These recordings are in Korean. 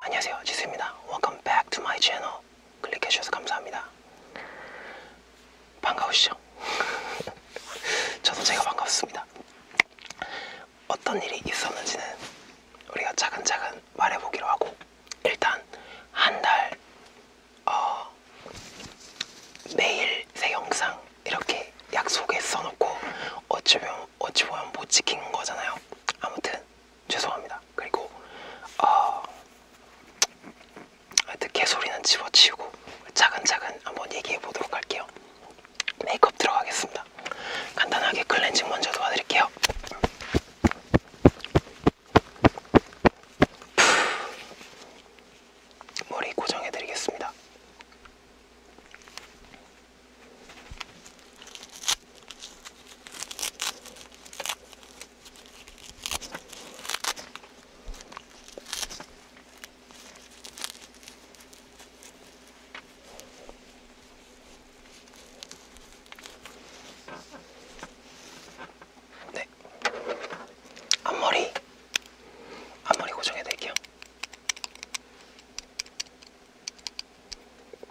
안녕하세요 지수입니다 Welcome back to my channel 클릭해주셔서 감사합니다 반가우시죠? 저도 제가 반갑습니다 어떤 일이 있었는지는 우리가 차근차근 말해보기로 하고 일단 한달 어, 매일 새 영상 이렇게 약속에 써놓고 어찌 보면, 어찌 보면 못 지킨 거잖아요 아무튼 죄송합니다. 그리고 어, 하여튼 개소리는 집어치우고 차근차근 한번 얘기해 보도록 할게요. 메이크업 들어가겠습니다. 간단하게 클렌징 먼저 도와드릴게요. 머리 고정해드리겠습니다. 네. 앞머리. 앞머리 고정해 드릴게요.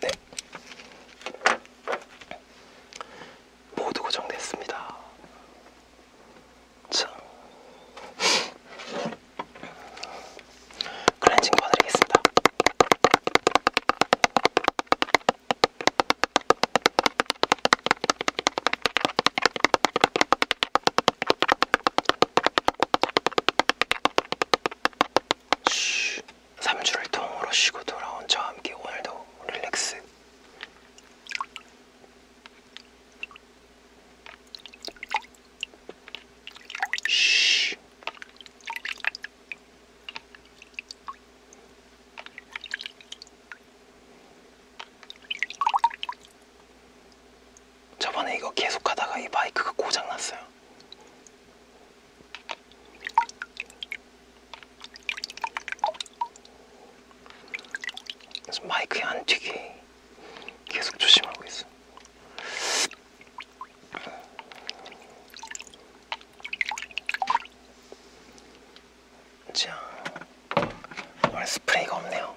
네. 모두 고정됐습니다. 자. 클렌징 도와드리겠습니다. 쉬. 3주를 통으로 쉬고 돌아온 저와 함께 오늘도 릴렉스. 쉬. 저번에 이거 계속 하다가 이 마이크가 고장 났어요. 그래서 마이크에 안 튀게 계속 조심하고 있어. 자, 오늘 스프레이가 없네요.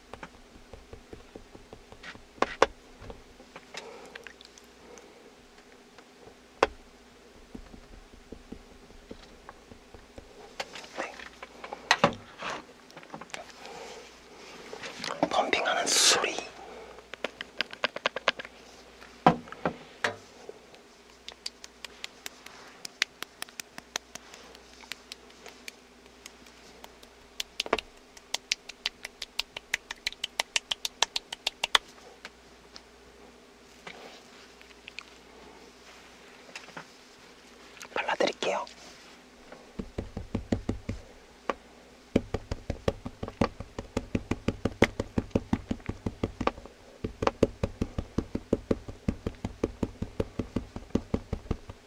네. 펌핑하는 소리 발라드릴게요.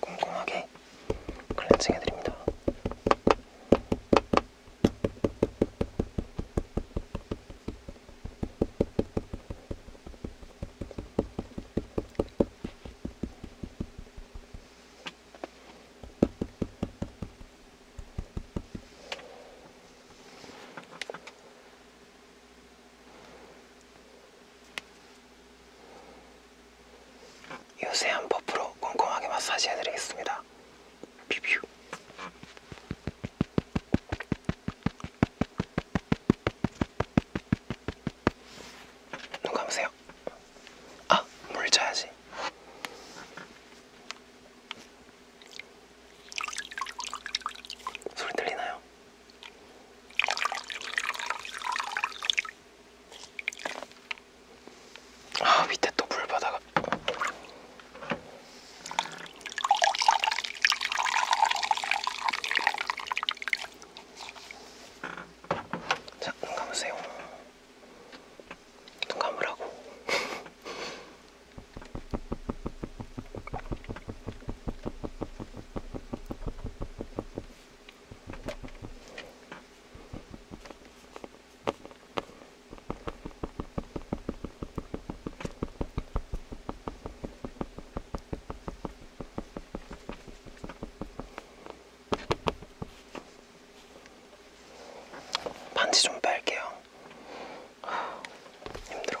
꼼꼼하게 클렌징 해드립니다. 요세한 버프로 꼼꼼하게 마사지 해드리겠습니다. 비뷰. 눈 감으세요. 아, 물 쳐야지. 소리 들리나요? 아 밑에 또 물바다가 자, 눈 감으세요. 눈 감으라고. 반지 좀 뺄게요. 힘들어.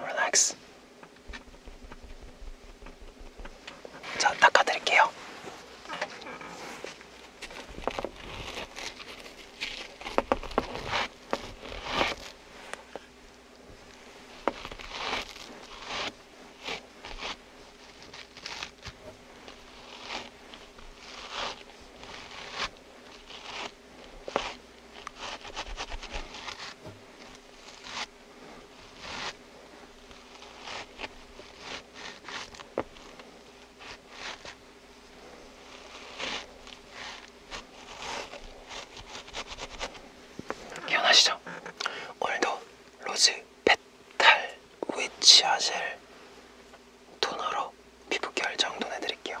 relax. 자, 닦아드릴게요. 기억나시죠? 오늘도 로즈 페탈 위치아젤 토너로 피부 결정도 해드릴게요.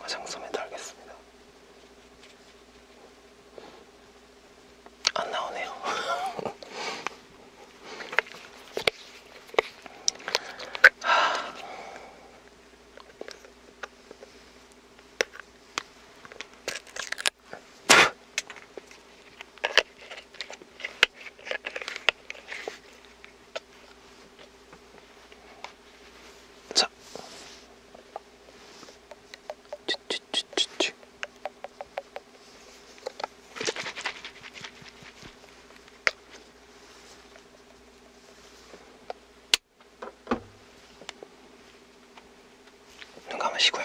화장솜에 달겠습니다. 안 나오네요. 하... 자. 찌찌찌찌찌. 눈 감으시고요.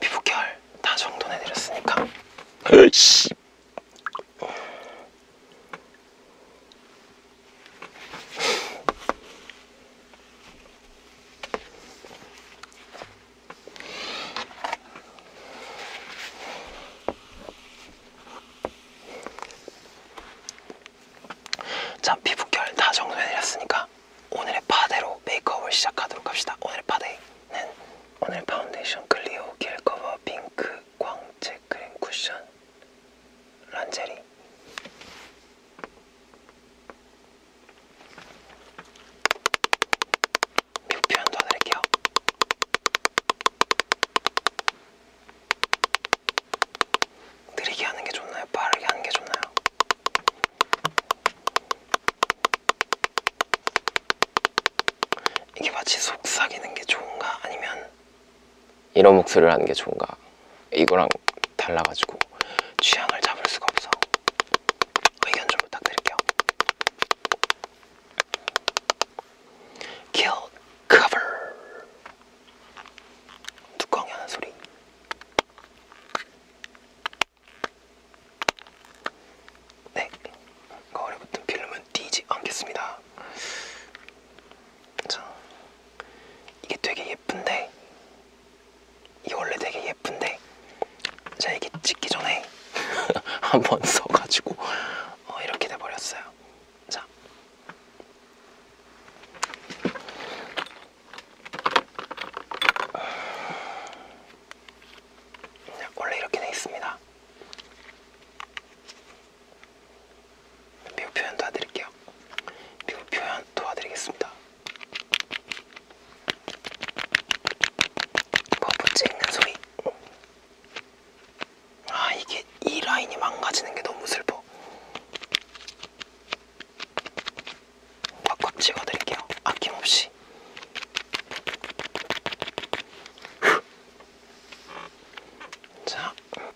피부결 다 정돈해드렸으니까 으이씨 자 피부결 다 정리해드렸으니까 오늘의 파데로 메이크업을 시작하도록 합시다 오늘의 파데는 오늘 파운데이션 클리오 겔 커버 핑크 광채 크림 쿠션 란제리 미국 표현 도와드릴게요. 느리게 하는 게 좋나요? 빠르게 하는 게 좋나요? 이게 마치 속삭이는 게 좋은가? 아니면 이런 목소리를 하는 게 좋은가 이거랑 달라가지고 취향을 잡을 수가 없어 의견 좀 부탁드릴게요 킬 커버 뚜껑 여는 소리 네 거울에 붙은 필름은 띄지 않겠습니다 자, 이게 되게 예쁜데, 이 원래 되게 예쁜데, 제가 이게 찍기 전에 한번 써가지고 어, 이렇게 돼버렸어요. 자. 원래 이렇게 돼 있습니다. 미국 표현 도와드릴게요. 미국 표현 도와드리겠습니다. 버프치 뭐 있는 소리. 아 이게 이 라인이 망가지는 게 너무 슬퍼. 꽉꽉 찍어드릴게요. 아낌없이. 자, 음.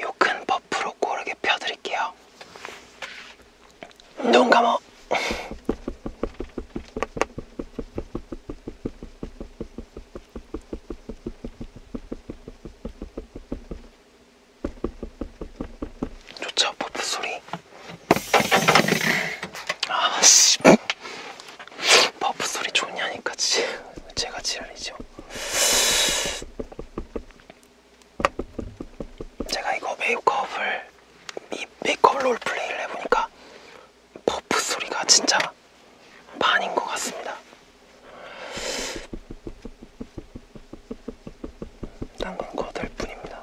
요큰 버프로 고르게 펴드릴게요. 눈 감어. 좋죠 버프 소리 아씨 버프 소리 좋냐니까 지, 제가 지랄이죠 제가 이거 메이크업을 이 메이크업 롤플레이를 해보니까 버프 소리가 진짜 보니까 반인 것 같습니다. 딴건 거들 뿐입니다.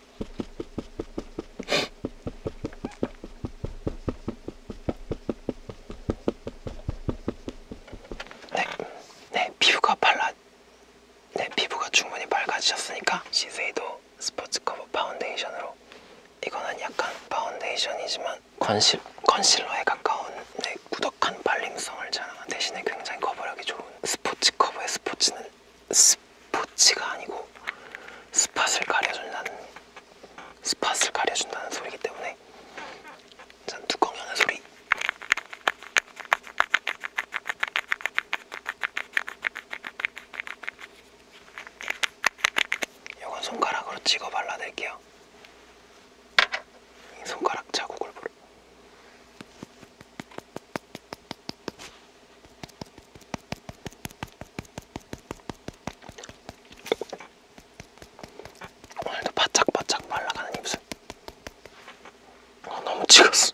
네, 네 피부가 발라, 네 피부가 충분히 밝아지셨으니까 시세이도 스포츠 커버 파운데이션으로 이거는 약간 파운데이션이지만 컨실 컨실러에 가까운 네, 꾸덕한 발림성을 자랑한 대신에 굉장히 커버력이 좋은 스포츠 커버의 스포츠는 스포츠가 아니고 스팟을 가려준다는 스팟을 가려준다는 소리이기 때문에 전 뚜껑 여는 소리 이건 손가락으로 찍어 발라드릴게요 손가락 자국을 보러 오늘도 바짝바짝 말라가는 입술 어, 너무 찍었어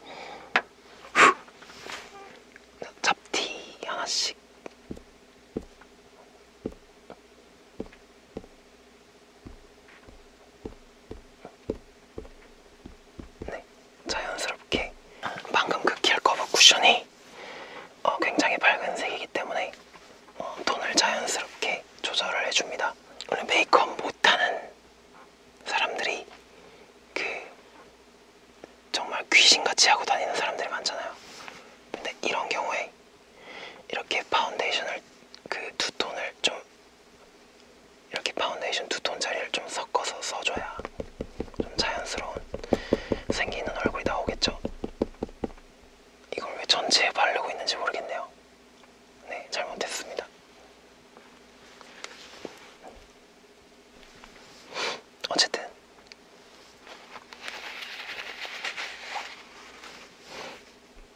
잡티 하나씩 네 자연스럽게 방금 그 킬커버 쿠션이 어, 굉장히 밝은색이기 때문에 어, 톤을 자연스럽게 조절을 해줍니다. 원래 메이크업 못하는 사람들이 그 정말 귀신같이 하고 다니는 사람들이 많잖아요. 근데 이런 경우에 이렇게 파운데이션을 그 두 톤을 좀 이렇게 파운데이션 두 톤짜리를 좀 섞어서 써줘야 좀 자연스러운 생기는 얼굴이 나오겠죠? 이걸 왜 전체에 바르고 있는지 모르겠네요. 네, 잘못했습니다. 어쨌든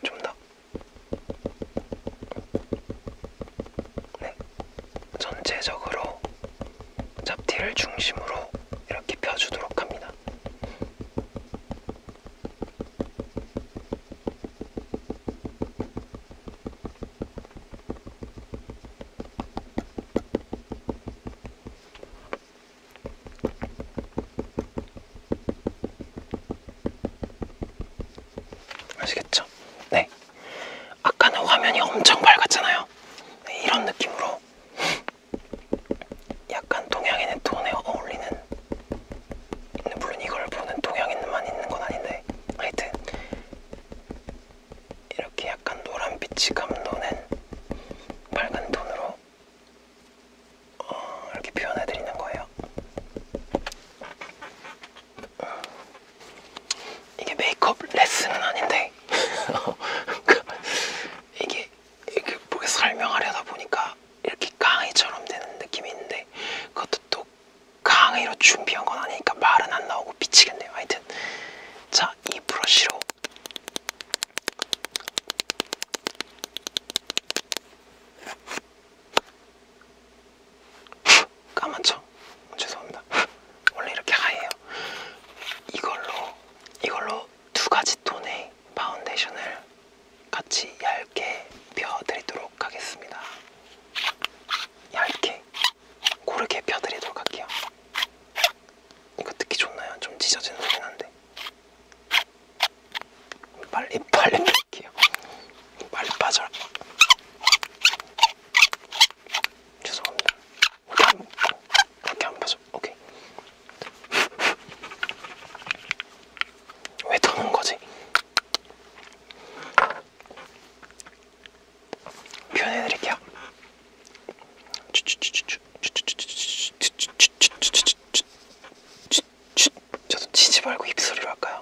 좀 더. 네, 전체적으로 잡티를 중심으로 이렇게 펴주도록 합니다. 아시겠죠? 네. 아까는 화면이 엄청 밝았잖아요. 있거든요. 네, 이런 느낌으로 약간 동양인의 톤에 어울리는 물론 이걸 보는 동양인만 있는 건 아닌데 하여튼 이렇게 약간 노란빛이 감도는 빨간 톤으로 어, 이렇게 표현해드리는 거예요. 이게 메이크업 레슨은 아닌데 이게 이렇게 뭐 설명하려다 보니까 이렇게 강의처럼 되는 느낌이 있는데 그것도 또 강의로 준비한 건 아니니까 말은 안 나오고 미치겠네요. 하여튼 자이 브러쉬로 까만죠? 죄송합니다. 원래 이렇게 하얘요. 이걸로 이걸로 두 가지 톤의 파운데이션을 같이 얇게 펴드리도록 하겠습니다. 얇게 고르게 펴드리도록 할게요. 이거 듣기 좋나요? 좀 찢어지는 소리긴 한데 빨리 빨리 뺄게요. 빨리 빠져. 죄송합니다. 어떻게 그렇게 안 봐서 오케이. 왜 터는 거지? 표현해드릴게요. 저도 치지 말고 입소리로 할까요?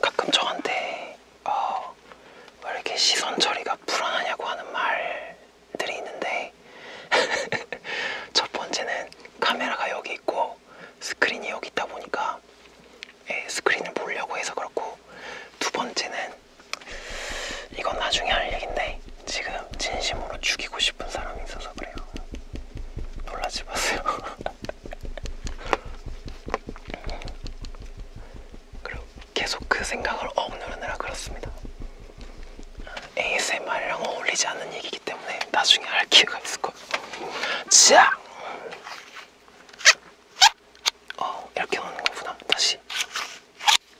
가끔 저한테 어, 왜 이렇게 시선 처리가 불안하냐고 하는 말들이 있는데 첫 번째는 카메라가 여기 있고 스크린이 여기 있다 보니까 예, 스크린을 보려고 해서 그렇고 두 번째는 이건 나중에 할 얘긴데 지금 진심으로 죽이고 싶은 사람이 있어서 그래요. 놀라지 마세요. 그리고 계속 그 생각을 억누르느라 그렇습니다. ASMR이랑 어울리지 않는 얘기이기 때문에 나중에 할 기회가 있을 거예요. 자, 어 이렇게 하는 거구나. 다시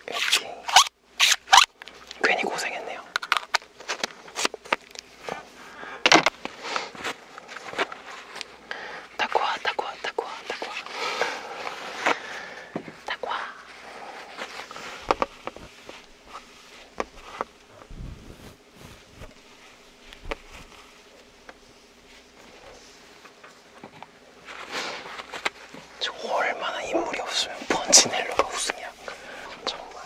이렇게 괜히 고생했네요. 타코아, 타코아, 타코아, 타코아, 타코아. 저 얼마나 인물이 없으면 번지넬로가 우승이야. 정말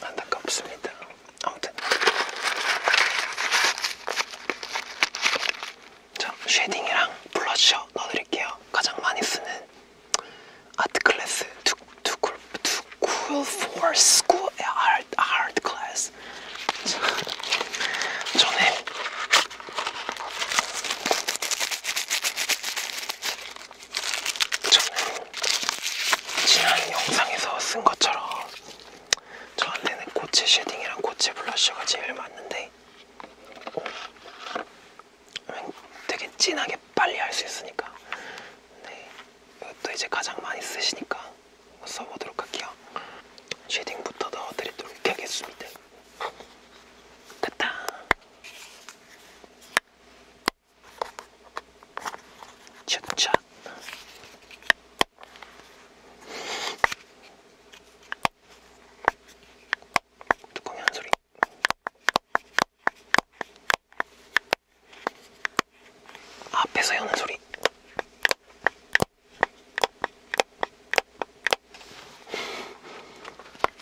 안타깝습니다. 아무튼 자 쉐딩이랑 블러셔 넣어드릴게요. 가장 많이 쓰는 아트 클래스 to to cool to cool for school 아, art art class. 전에 저는 지난 영상에서 쓴 것처럼 저한테는 고체 쉐딩이랑 고체 블러셔가 제일 맞는데 되게 진하게 빨리 할 수 있으니까 네. 이것도 이제 가장 많이 쓰시니까 써보도록 할게요. 쉐딩부터 넣어드리도록 하겠습니다. 됐다. 찹찹. 뚜껑이 한 소리. 앞에서 여는 소리.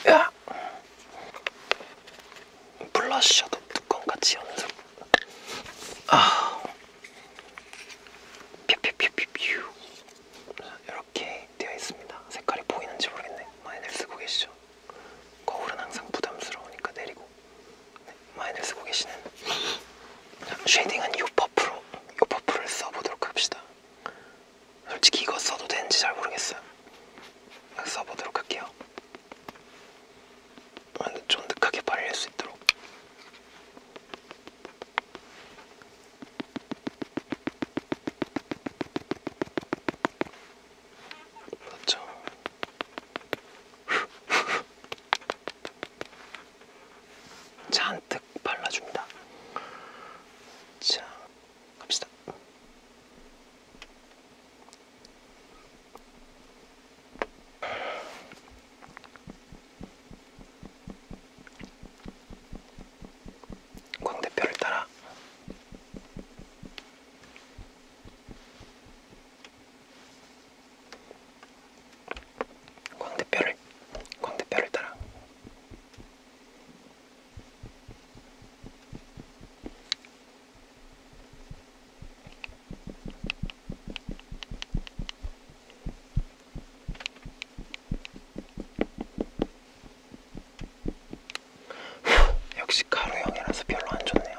야! 블러셔도 뚜껑같이 여는 소리. 아. 퓨퓨퓨퓨퓨. 이렇게 되어 있습니다. 색깔이 보이는지 모르겠네. 많이들 쓰고 계시죠? 같아요. 거울은 항상 부담스러우니까 내리고 네, 많이들 쓰고 계시는 쉐이딩한 이 퍼프로 이 퍼프를 써보도록 합시다. 솔직히 이거 써도 되는지 잘 모르겠어요. 써보도록 할게요. 쫀득하게 아, 발릴 수 있도록. 맞죠? 그렇죠. 잔뜩 발라줍니다. 자, 갑시다. 광대뼈를 따라 광대뼈를 광대뼈를 따라 역시 가루형이라서 별로 안 좋네요.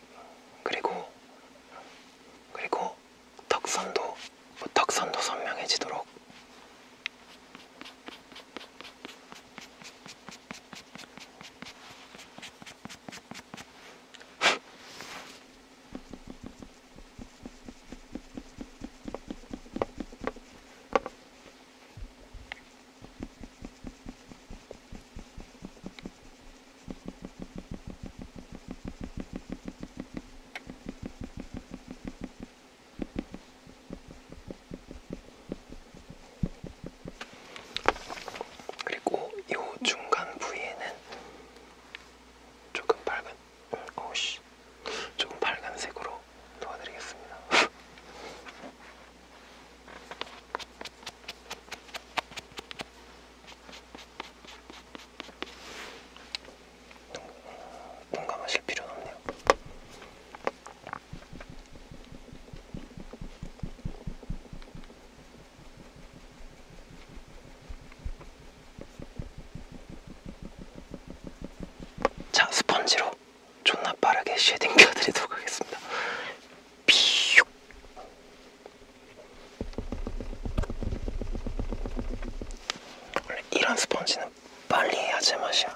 네 그리고 그리고 턱선도 뭐 턱선도 선명해지도록 그리고 이 중간 부위에는 조금 밝은, 오씨, 어, 조금 밝은색으로 도와드리겠습니다. 공감하실 필요는 없네요. 자 스펀지로 존나 빠르게 쉐딩 켜드리도록 하겠습니다. 피육. 원래 이런 스펀지는 빨리 해야 제맛이야.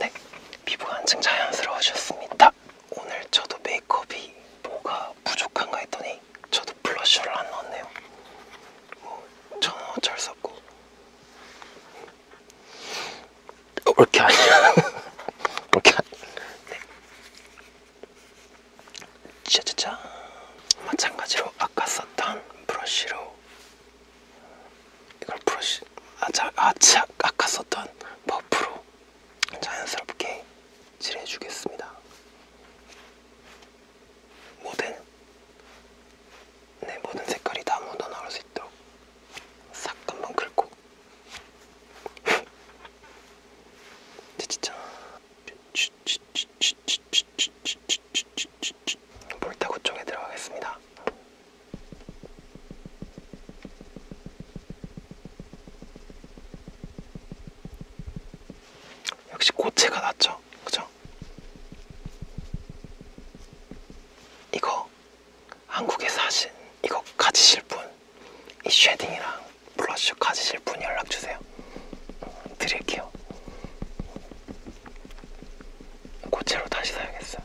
네, 피부가 한층 자연스러워졌습니다. 오늘 저도 메이크업이 뭐가 부족한가 했더니 저도 블러셔를 안 넣었네요. 뭐 저는 어쩔 수 없고 이렇게 아니야. 이렇게 네. 짜자잔. 마찬가지로 아까 썼던 브러쉬로 이걸 브러쉬 아자 아차 아까 썼던 버프로 자연스럽게 칠해주겠습니다. 모든 네 모든 색깔이 다 묻어나올 수 있도록 싹 한번 긁고 진짜 볼타구 쪽에 들어가겠습니다. 역시 꽃체가 낫죠. 그죠? 이거 한국에 사신 이거 가지실 분, 이 쉐딩이랑 블러셔 가지실 분 연락 주세요. 음, 드릴게요. 꽃체로 다시 사야겠어요.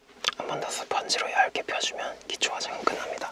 한번더 스펀지로 얇게 펴주면 기초 화장은 끝납니다.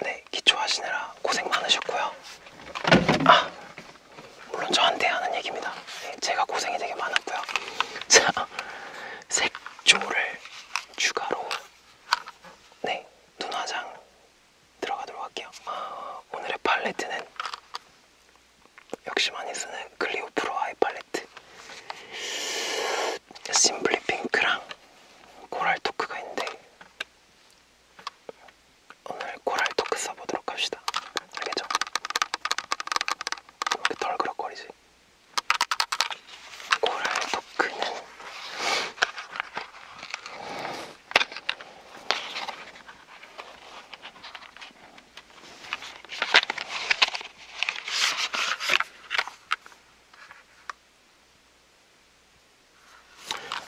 네, 기초하시느라 고생 많으셨고요. 아, 물론 저한테 하는 얘기입니다. 네, 제가 고생이 되게 많았고요. 자, 색조를 추가로 네, 눈화장 들어가도록 할게요. 아, 오늘의 팔레트는 역시 많이 쓰는 클리오 프로 아이 팔레트. 심플리 핑크랑 코랄 토크가 있는데 오늘 코랄 토크 써보도록 합시다. 알겠죠? 이렇게 덜그럭거리지. 코랄 토크는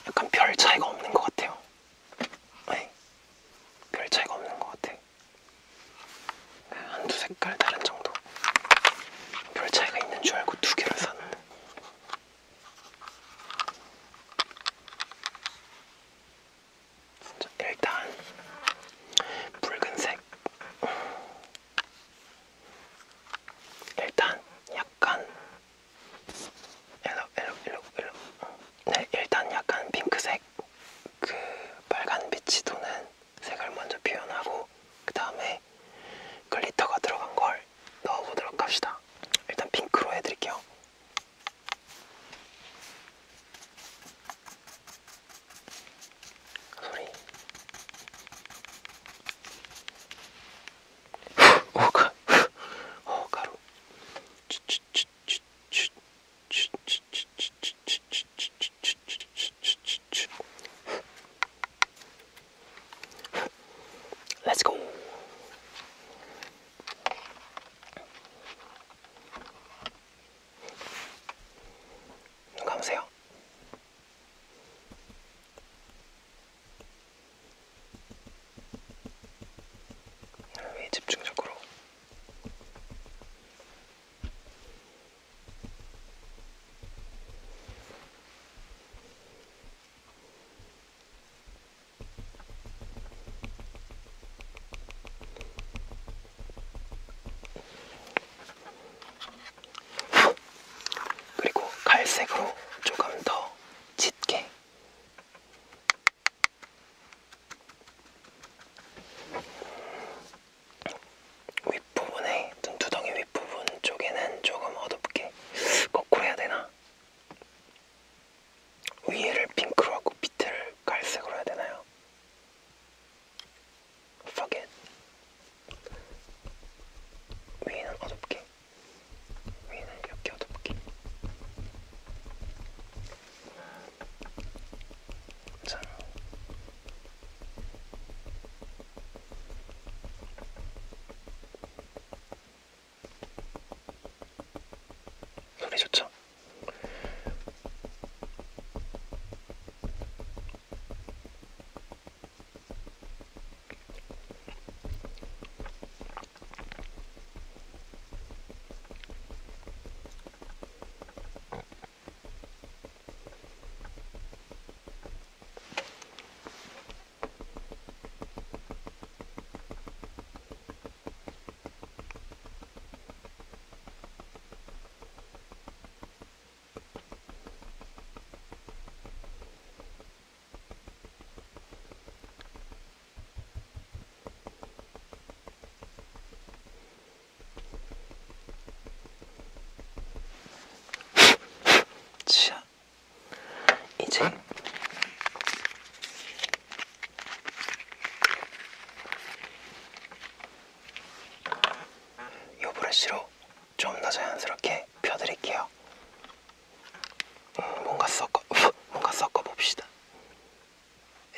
약간 별 차이가 없는 것 같아요. 네. 별 차이가 없는 것 같아. 네, 한두 색깔 다른 정도. 별 차이가 있는 줄 알고 두 개를 샀는데 진짜 일단 붉은색 일단 약간 일로 일로 일로 일로 네 일단 약간 핑크색 그 빨간 빛이 도는 색을 먼저 표현하고 그 다음에 글리터가 들어간 걸 색깔 넣어보도록 합시다. 일단 핑크로 해드릴게요. 소리. 오가, 오 가루. Let's go. 눈 감으세요. 왜 집중적으로? 그리고 갈색으로 조금 더 짙게 윗부분에 눈두덩이 윗부분 쪽에는 조금 어둡게 거꾸로 해야 되나? 위에를 핑크로 하고 밑에를 갈색으로 해야 되나요? Fuck it. 위에는 어둡게, 위에는 이렇게 어둡게. 자. 소리 좋죠? 치아 이제 요 브러쉬로 좀 더 자연스럽게 펴드릴게요. 음, 뭔가 섞어 뭔가 섞어 봅시다.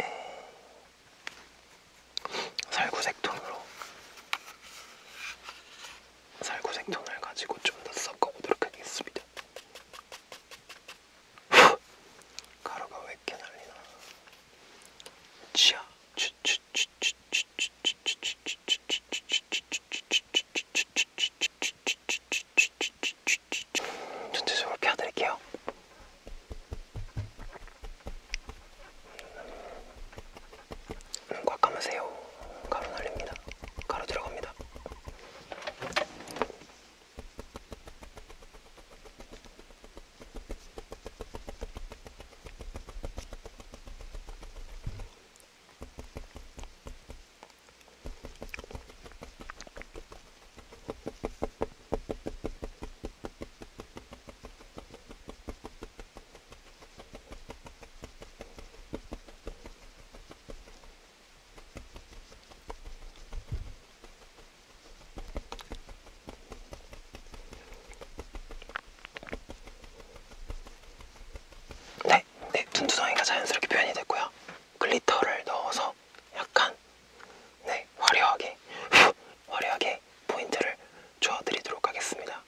예. 살구색 톤으로 살구색 톤을 가지고 좀 더 섞어 보도록 하겠습니다. 가루가 왜 이렇게 날리나? 치아. 전체적으로 펴드릴게요. 꽉 감으세요. 가루 날립니다. 가로 들어갑니다. 네, 네, 눈두덩이가 자연스럽게 표현이 됐고요. 글리터를 넣어서 약간 네, 화려하게 후, 화려하게 포인트를 줘드리도록 하겠습니다.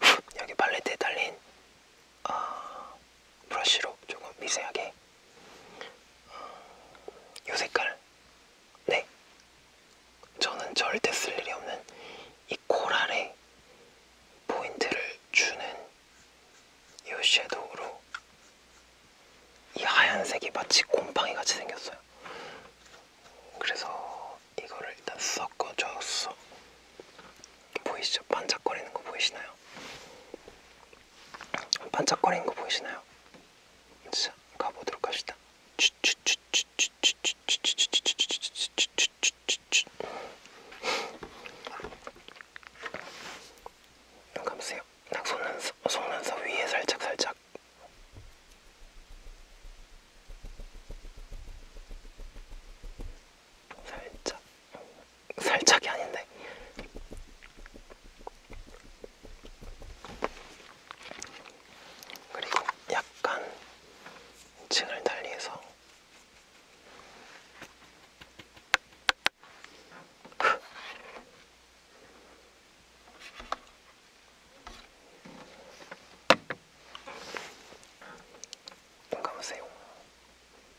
후, 여기 팔레트에 달린 어, 브러쉬로 조금 미세하게 이 어, 색깔 네 저는 절대 쓸 일이 없는 이 코랄에 포인트를 주는 이 섀도우로 이 하얀색이 마치 곰팡이 같이 생겼어요. 그래서 이거를 일단 섞어줬어. 보이시죠? 반짝거리는 거 보이시나요? 반짝거리는 거 보이시나요? 자, 가보도록 합시다. 눈 감으세요. 딱 속눈썹, 속눈썹 위에 살짝 살짝. 살짝 살짝이 아닌데 그리고 약간 층을 달리해서 뭔가 보세요.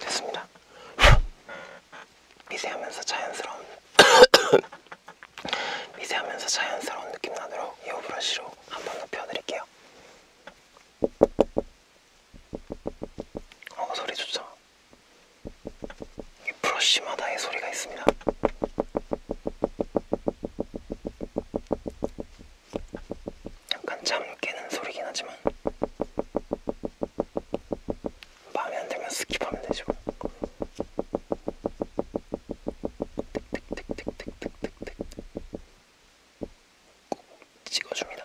됐습니다. 미세하면서 자연스러운 미세하면서 자연스러운 느낌 나도록 이 브러쉬로 한번 눕혀드릴게요. 어 소리 좋죠? 이 브러쉬마다의 소리가 있습니다. 약간 잠 깨는 소리긴 하지만 마음에 안 들면 스킵하면 되죠. 틱틱틱틱틱틱틱 뭐. 찍어줍니다.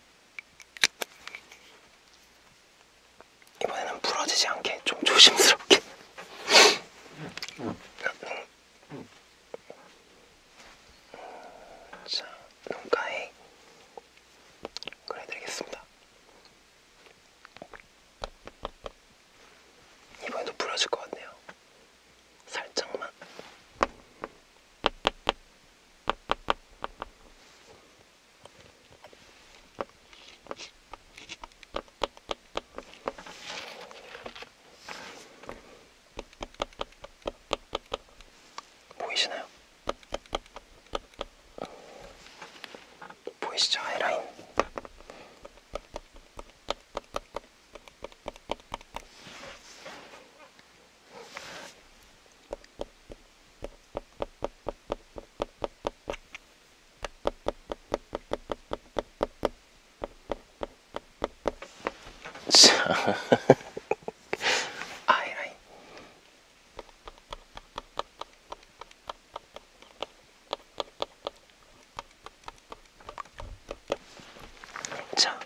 이번에는 부러지지 않게 좀 조심스럽게 자, 눈가에 그려드리겠습니다. 이번에도 부러질 것 같네요. 살짝만. 보이시나요? 보이시죠? 하이라인 あえらじゃあ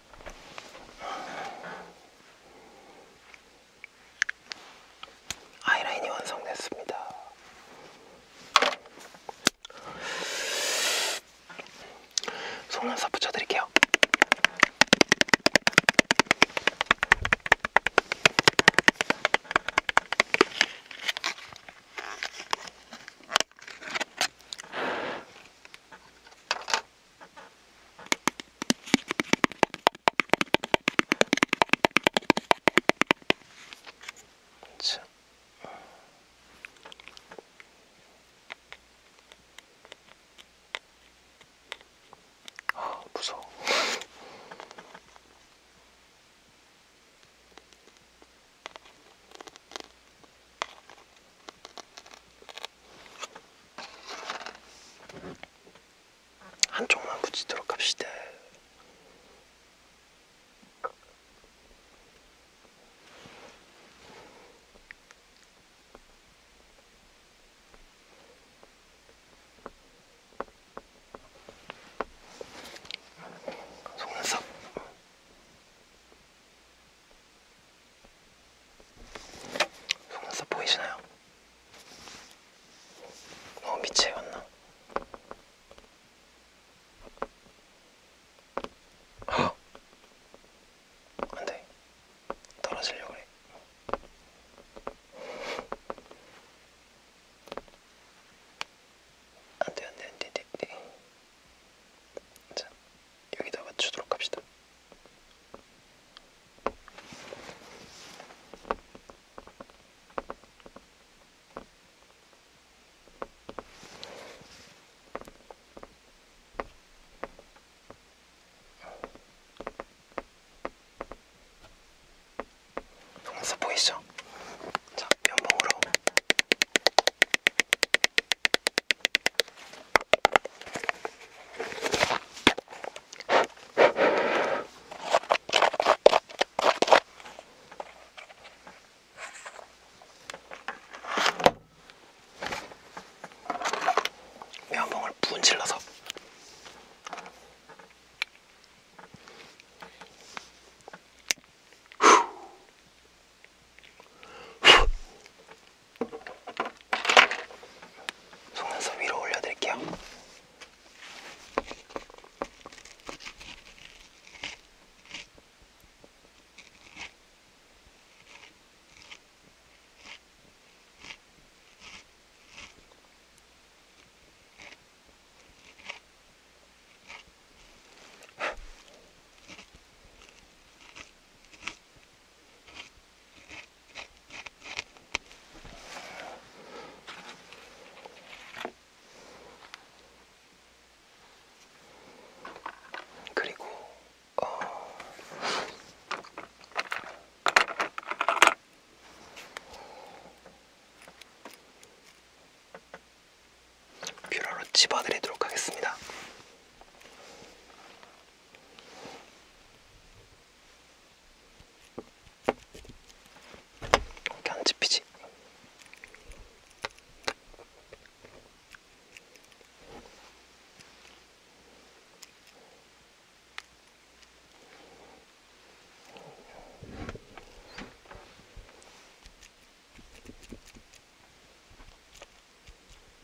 아이라인이 완성됐습니다. 속눈썹 붙여드릴게요. 참. 아, 무서워. 한쪽만 붙이도록 합시다. 속눈썹 속눈썹 보이시나요? 너무 밑에 갔나? 아! 안돼 떨어지려고 그래 안돼 안돼 안돼 안돼 자 여기다 맞추도록 합시다 동서 보이죠? 자, 면봉으로 면봉을 분질러서 속눈썹 위로 올려드릴게요. 그리고 어 뷰러로 집어드리도록 하겠습니다. 이렇게 안 집히지?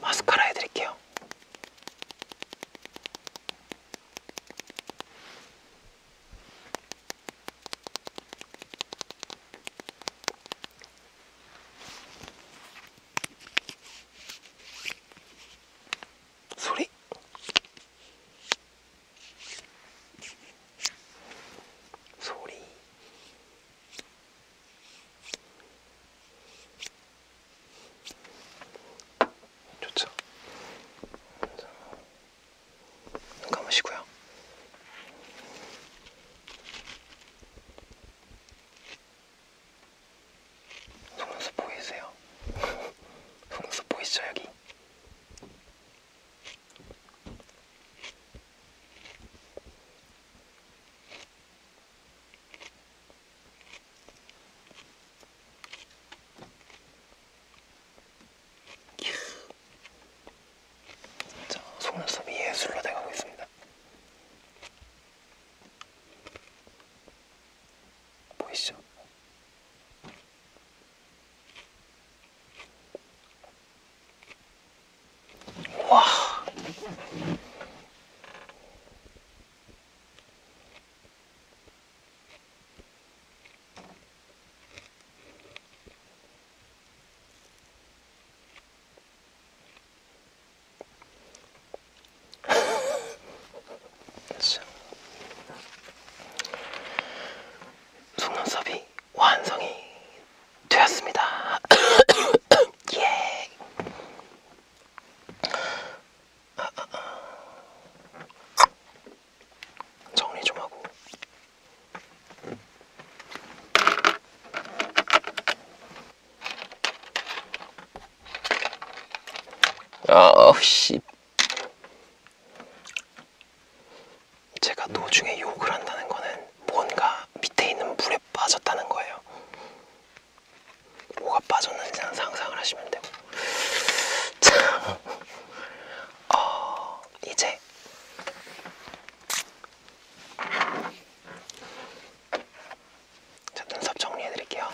마스카라 해드릴게요. 소리? 소리 좋죠? 눈 감으시고요. 속눈썹 보이세요? 속눈썹 보이시죠 여기? 자, 속눈썹이 예술로 돼가고 있습니다. 보이시죠? 와. 속눈썹이 거의 완성이 되었습니다. 예. 아, 아, 아. 정리 좀 하고. 아, 씨. 제가 노중에 욕을 한다는 거는 뭔가 밑에 있는 물에 빠졌다는 거예요. 뭐가 빠졌는지 상상을 하시면 되고. 자, 어, 이제 자, 눈썹 정리해드릴게요.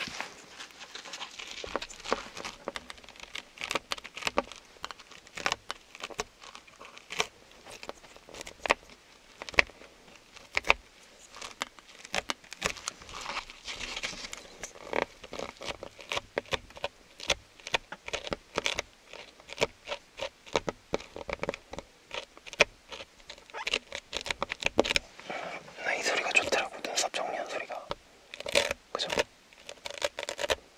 나이 소리가 좋더라고 눈썹 정리한 소리가 그죠?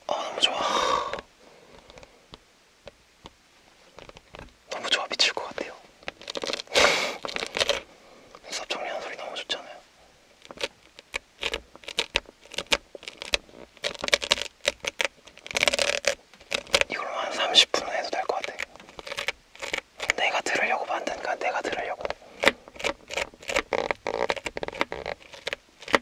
아 너무 좋아 너무 좋아 미칠 것 같아요. 수업 정리하는 소리 너무 좋잖아요. 이걸로 한 30분은 해도 될 것 같아. 내가 들으려고 만든 건 내가 들으려고.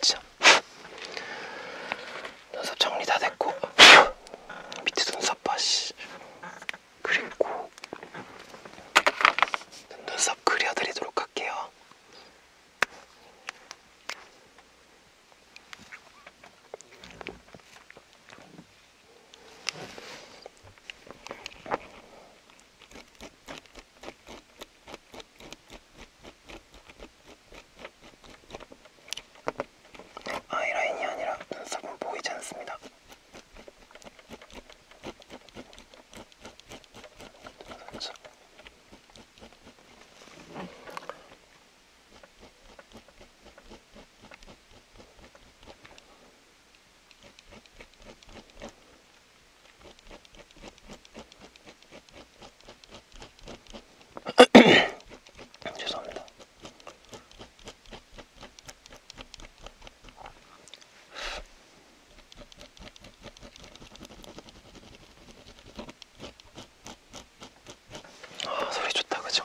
자, 눈썹 정리 다 됐고 밑에 눈썹 봐 씨. 그리고 눈썹 그려드리도록 할게요. 아이라인이 아니라 눈썹은 보이지 않습니다. 죄송합니다. 아, 소리 좋다, 그죠?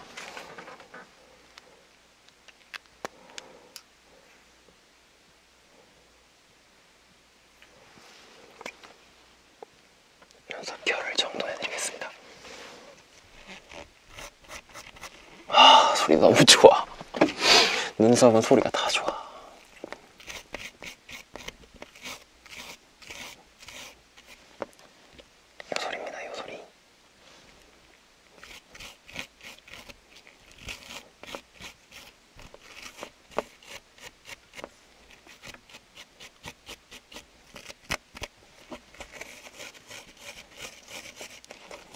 연속 결을 정도 해드리겠습니다. 아 소리 너무 좋아 눈썹은 소리가 다 좋아 요 소리입니다 요 소리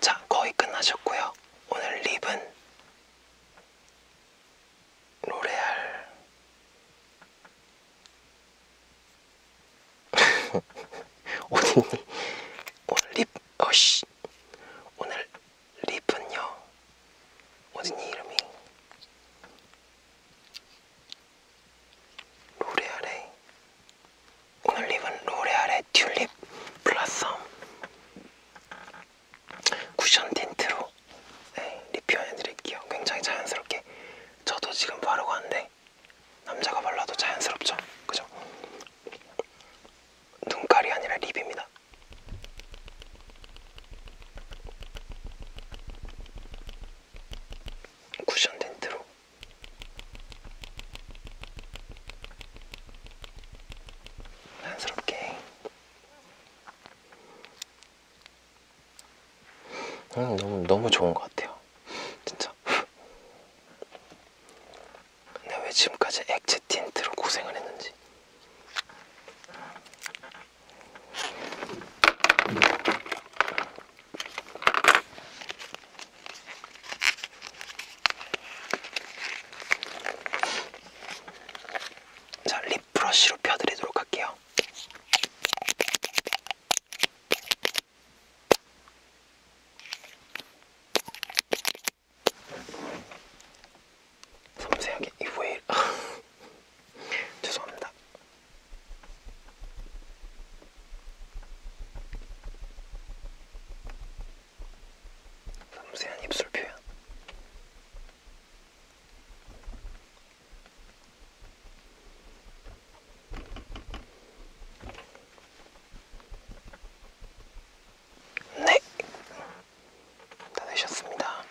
자, 거의 끝나셨고요. 오늘 립은 로레알 오늘 오늘 립 어씨 오늘 립은요 어디니 이름이 로레알의 오늘 립은 로레알의 튤립 플라썸 쿠션 틴트로 네, 립 표현해드릴게요. 굉장히 자연스럽게 저도 지금 바르고 왔는데 남자가 발라도 자연스럽죠? 그죠? 눈깔이 아니라 립입니다. 쿠션 덴트로 자연스럽게 음, 너무 너무 좋은 것 같아요. 진짜 진짜 근데 왜 지금까지 액체 틴트로 고생을 했는지 자, 립브러쉬로 펴드리도록 할게요. 섬세하게 이후에 죄송합니다. 섬세한 입술 표현. 네. 다 되셨습니다.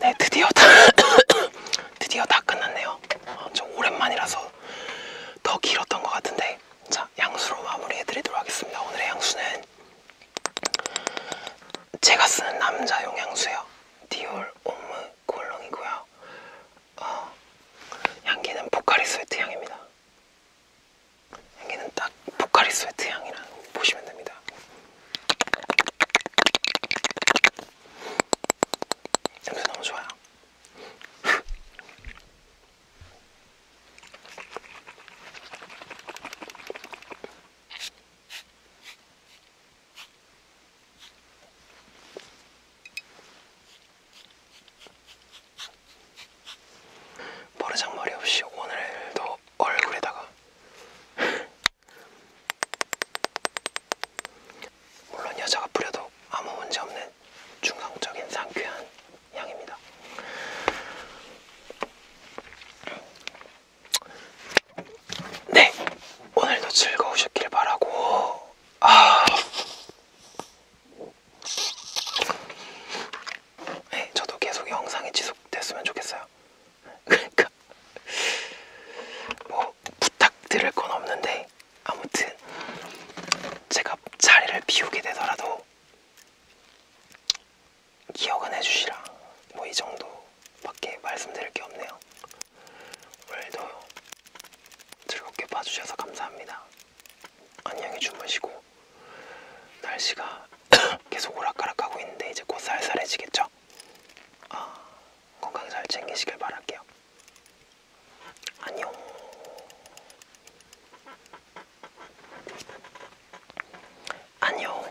네, 드디어 다 드디어 다 끝났네요. 어, 좀 오랜만이라서 더 길었던 것 같은데 자 양수로 마무리해드리도록 하겠습니다. 오늘의 양수는 제가 쓰는 남자용 향수예요. 디올 옴므 콜롱이고요. 어, 향기는 보카리 스웨트 향입니다. 향기는 딱 보카리 스웨트 향이라고 보시면 됩니다. 냄새 너무 좋아요. 버르장머리 없이 오늘도 얼굴에다가 물론 여자가 뿌려도 아무 문제 없는 중성적인 상쾌한 향입니다. 네, 오늘도 즐거우셨길 바라고. 아, 네, 저도 계속 영상이 지속됐으면 좋겠어요. 그러니까 뭐 부탁드릴 건 없는데 아무튼 제가 자리를 비우게 되더라도 기억은 해주시라. 뭐 이 정도. 밖에 말씀드릴 게 없네요. 오늘도 즐겁게 봐주셔서 감사합니다. 안녕히 주무시고 날씨가 계속 오락가락하고 있는데 이제 곧 쌀쌀해지겠죠? 아, 건강 잘 챙기시길 바랄게요. 안녕. 안녕.